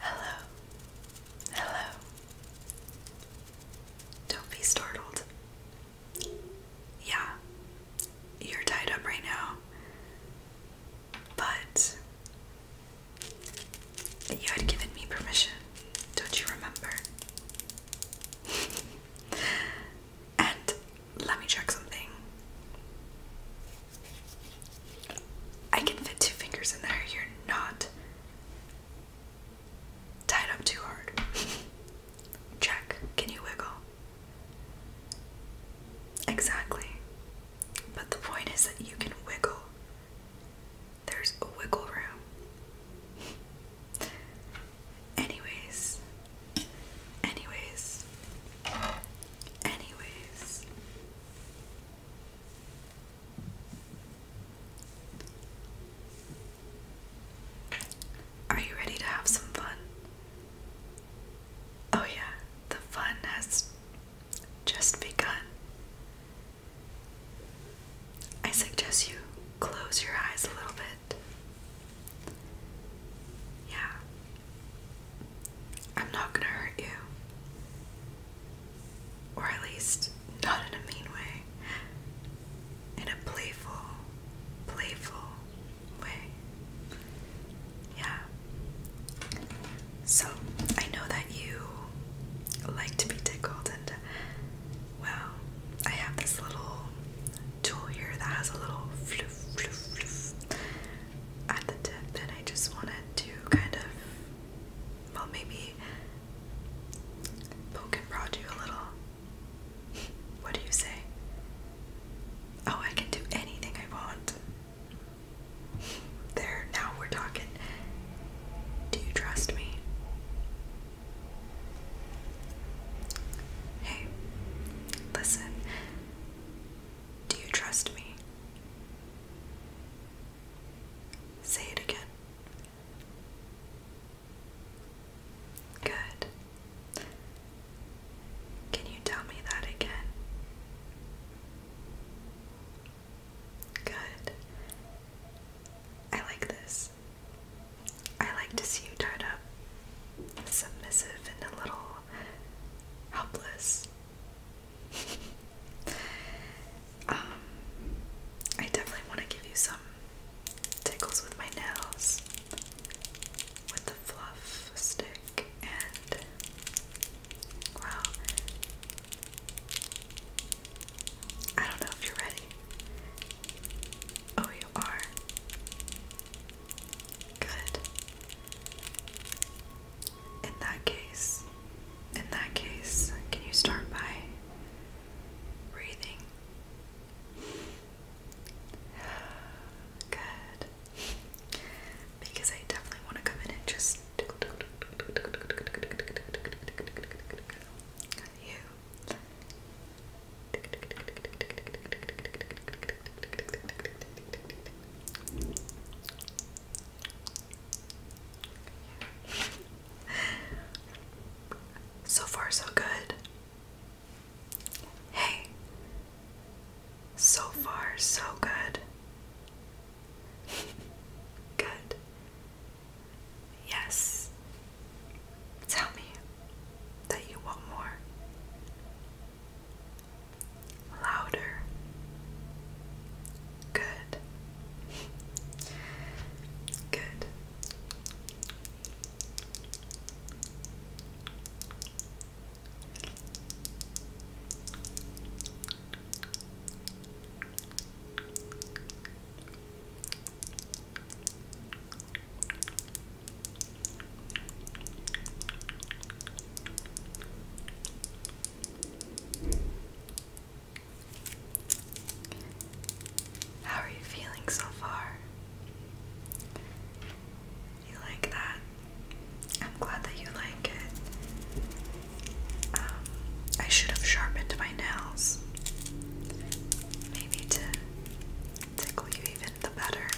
Hello. Hello. Don't be startled. Yeah, you're tied up right now. But you had given me permission, don't you remember? and let me check something. I can fit two fingers in there. You're not tied up too hard. Check. Can you wiggle? Exactly. But the point is that you can wiggle. There's a wiggle room. Anyways, anyways, Anyways, are you ready to have some fun? Oh, yeah, the fun has just begun. I suggest you close your eyes a little bit. Yeah, I'm not gonna hurt you. Or at least, not in a mean way. In a playful, playful way. Yeah. So, I know that you like to be tickled, and well, I have this little tool here that has a little at the tip and I just wanted to kind of well maybe poke and prod you a little. What do you say? Oh, I can do anything I want. There, now we're talking. Do you trust me? Hey, listen. Do you trust me? Say it again. Good. Can you tell me that again? Good. I like this. I like to see you tied up submissive and a little helpless. Um, I definitely want to give you some tickles with my nails with the fluff stick and well I don't know if you're ready. Oh, you are. Good. In that case, in that case, can you start by breathing? Good. Because I definitely want to come in and just you. So far, so good. Hey, so far, so good. Good. Yes. Tell me that you want more. Louder. Good. Good. How are you feeling so far? You like that? I'm glad that you like it. Um, I should have sharpened my nails. Maybe to tickle you even the better.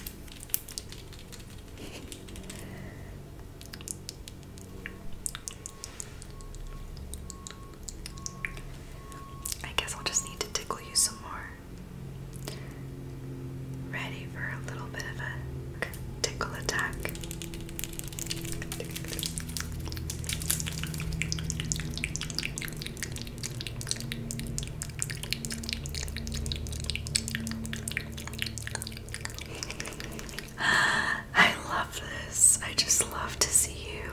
I guess I'll just need to tickle you some more. Ready for a little bit of a tickle attack. I love this. I just love to see you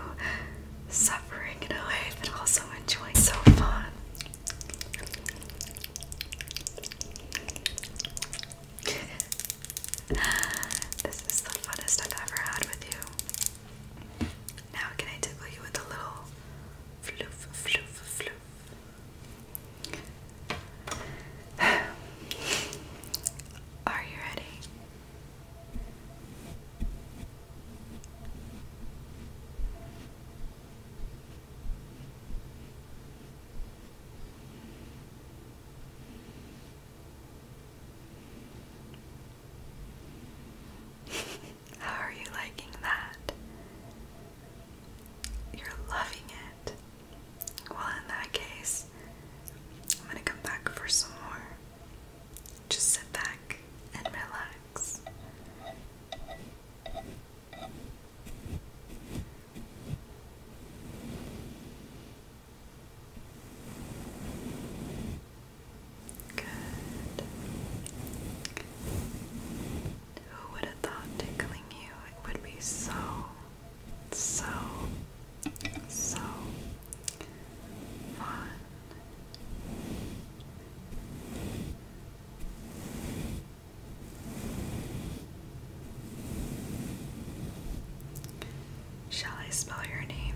suffering in a way, but also enjoying. So fun. this is the funnest I've ever had with you. Now can I tickle you with a little floof, floof, floof? Are you ready? How are you liking that? You're loving it. Well, in that case, I'm going to come back for some more. Just sit back and relax. Good. Who would have thought tickling you would be so, so, so fun? Shall I spell your name?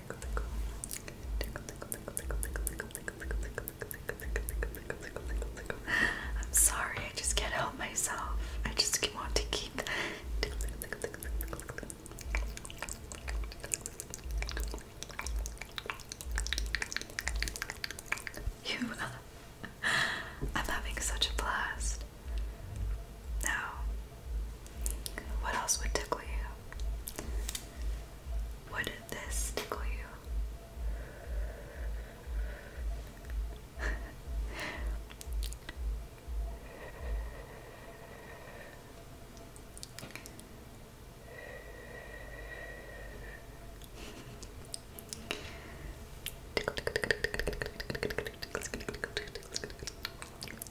I'm sorry, I just can't help myself. I just want to keep tickle, tickle, You, uh, I'm having such a blast. Now, what else would tickle you? What did this tickle you?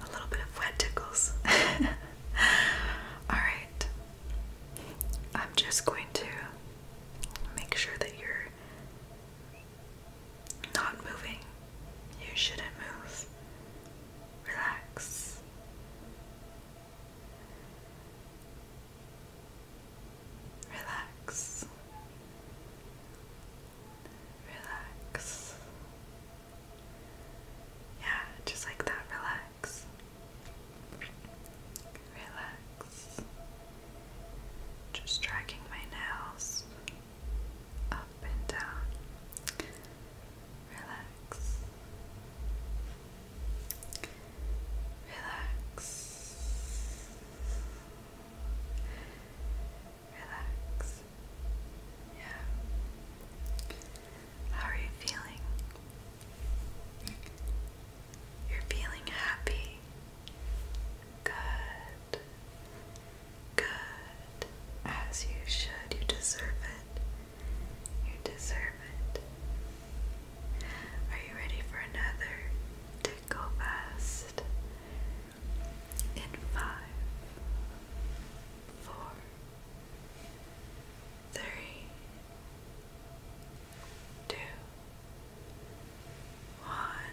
A little bit of wet tickles. All right. I'm just going to make sure that you're not moving. You shouldn't move relax. Relax. Relax. Yeah, just like that. Relax. Relax. Just dragging my nails up and down. Relax. Relax. Relax. Yeah. How are you feeling? You're feeling happy. Good. Good. As you should. You deserve it. You deserve it. Are you ready for another tickle fast? In five, four, three, two, one.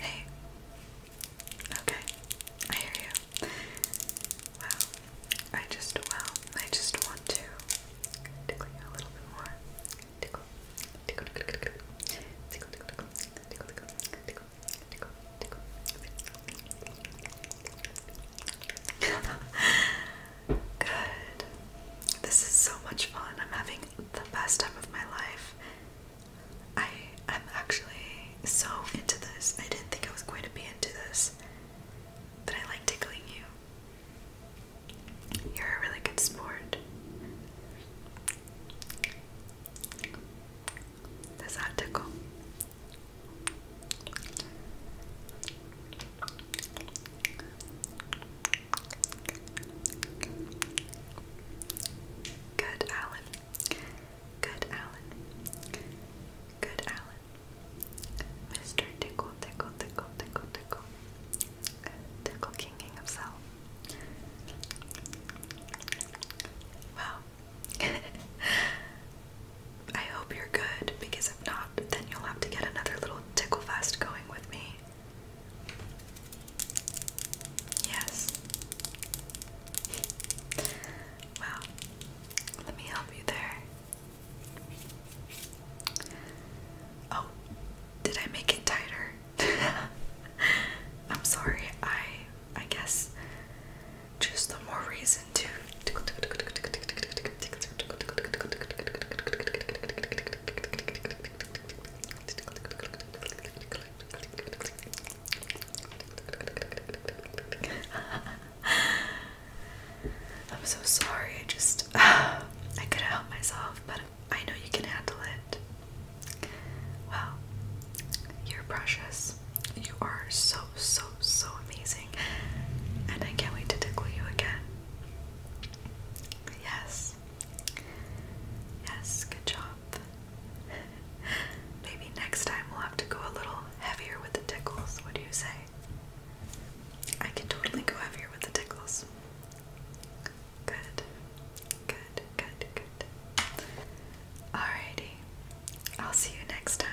Hey. Okay. I hear you. Wow. I just wow. I just want to tickle you a little bit more. Tickle. Tickle tickle tickle. Tickle tickle tickle. Tickle tickle tickle. Tickle tickle. Good. This is so much fun. I'm having the best time of my life. I am actually so into this. I didn't think I was going to be into this, but I like tickling you. You're a really good sport. Does that tickle? Good, Alan. Good, Alan. Good, Alan. Mr. Tickle, tickle, tickle, tickle, tickle. Tickle kinging himself. Wow. I hope you're good because if not, then you'll have to get another little tickle fest going with me. Yes. Well, let me help you there. Oh, did I make it tighter? I'm sorry. I I guess just the more reason to I'm so sorry. I just I couldn't help myself, but I know you can handle it. Well, you're precious. You are so so so amazing, and I can't wait to tickle you again. Yes. Yes, good job. Maybe next time we'll have to go a little heavier with the tickles. What do you say? I can totally go heavier with the tickles. Good. Good, good, good. Alrighty. I'll see you next time.